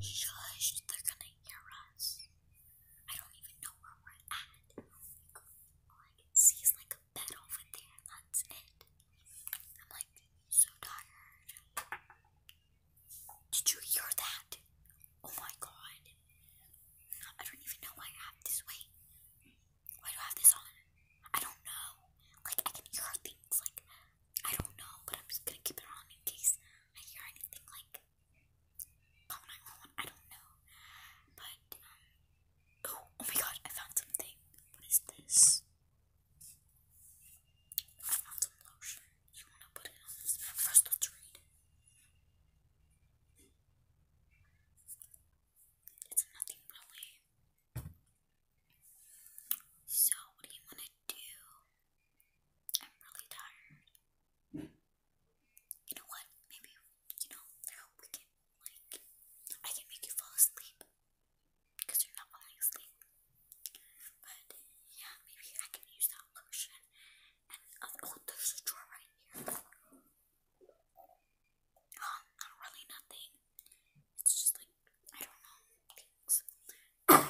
Shush, they're gonna hear us. I don't even know where we're at. All I can see is like a bed over there, and that's it. I'm like so tired. Did you hear that? Oh my god. I don't even know why I have this. Wait, why do I have this on? I don't know. Like, I can hear things like I don't know, but I'm just gonna keep it on in case I hear anything like I don't know, but um, oh, oh my god, I found something. What is this? I found some lotion. You wanna put it on First, let's read. It's nothing really. So, what do you wanna do? I'm really tired. You know what? Maybe, you know, we can, like, I can make you fall asleep. Because you're not falling asleep. But, yeah, maybe I can use that lotion. Um, oh, there's a drawer right here. Um, not really nothing. It's just like, I don't know like, I'm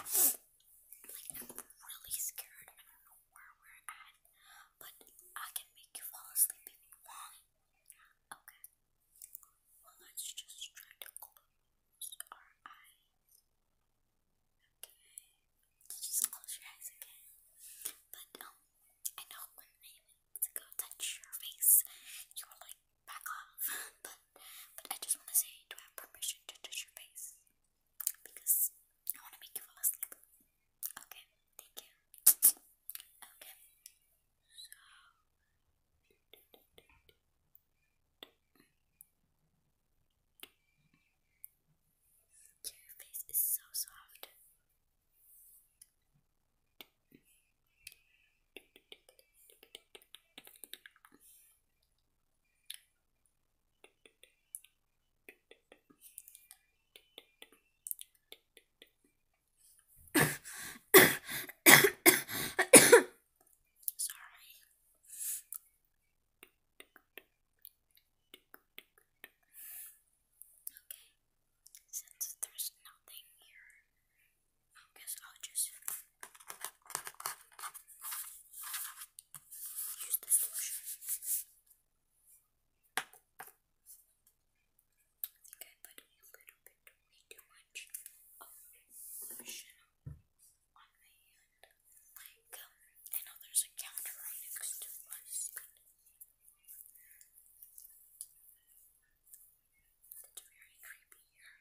really scared. I don't know where we're at, but I can make you fall asleep if you want. Okay. Well, let's just try to close our eyes. just close your eyes again. But, um, I know when I go touch your face, you were like, back off. But but I just want to say, do I have permission to touch your face? Because I want to make you fall asleep. Okay, thank you. Okay. So. Your face is so soft. Sorry. Okay. Since there's nothing here I guess I'll just use this lotion. I think I put a little bit way too much lotion on my hand. I know there's a counter right next to us, it's very creepy here.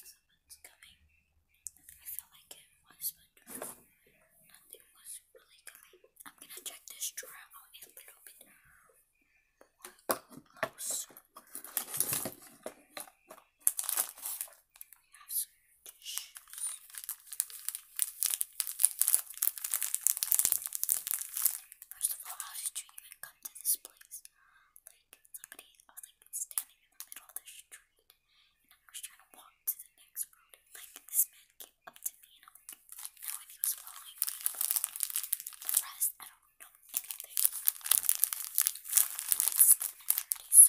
someone's coming. I feel like it was, but nothing was really coming. I'm gonna check this drawer out a little bit more close. We First of all, how did you even come to this place? Like, somebody, was like standing in the middle of the street, and I was trying to walk to the next road, like, this man came up to me, and I'm like, now if he was following me, the rest, I don't know anything. It's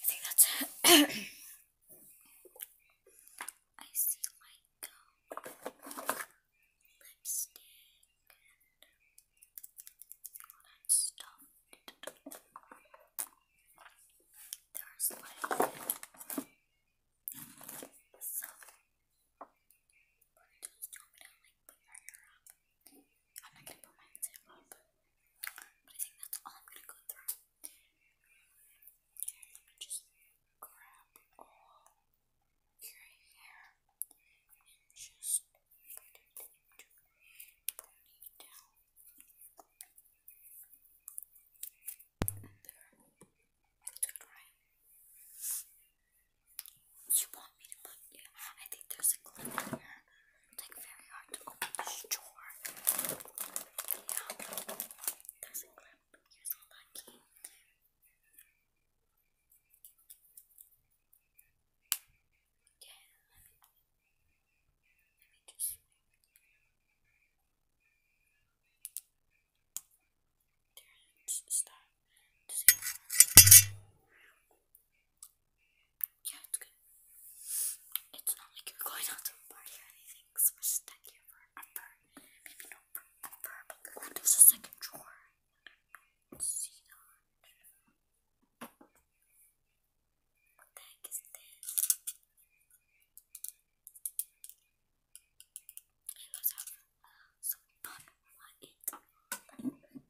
I think that's it. I see like um, lipstick all that stuff. There's like some. I'm not gonna put my Instagram up, but I think that's all I'm gonna go through. Let me just grab all your hair and just put it into a ponytail. You want me to put, yeah, I think there's a clip here. It's like very hard to open this drawer. Yeah. There's a Here's all key. Okay, let me just there's yeah, it's good. It's not like you're going out to a party anything, so we're stuck here for Maybe not forever, but oh, there's a second drawer. What the heck is this? It looks like uh, fun.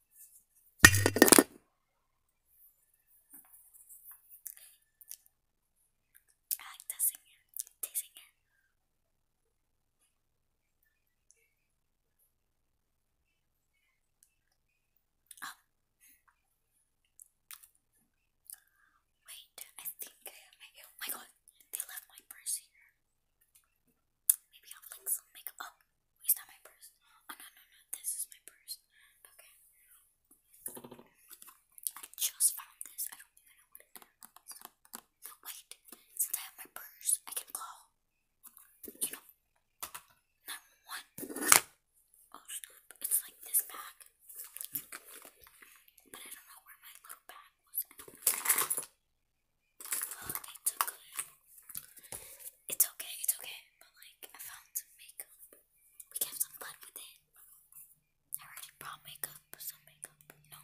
I like tasting it, Oh. Wait, I think I have my. Oh my god, they left my purse here. Maybe I'll link some makeup. Oh. Is that my purse? Oh no no no, this is my purse. Okay. I just found this. I don't even know what it is. Wait, since I have my purse, I can call. You know, that one. Oh snap! It's like this bag, but I don't know where my little bag was. Oh, they took it's okay, it's okay, but like I found some makeup. We can have some fun with it. I already brought makeup, some makeup, no.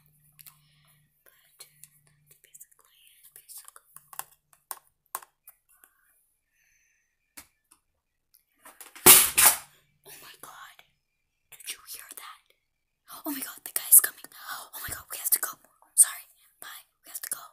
But that's basically Oh my god. Did you hear that? Oh my god, the guy's coming. Oh my god, we have to go. Sorry, bye. We have to go.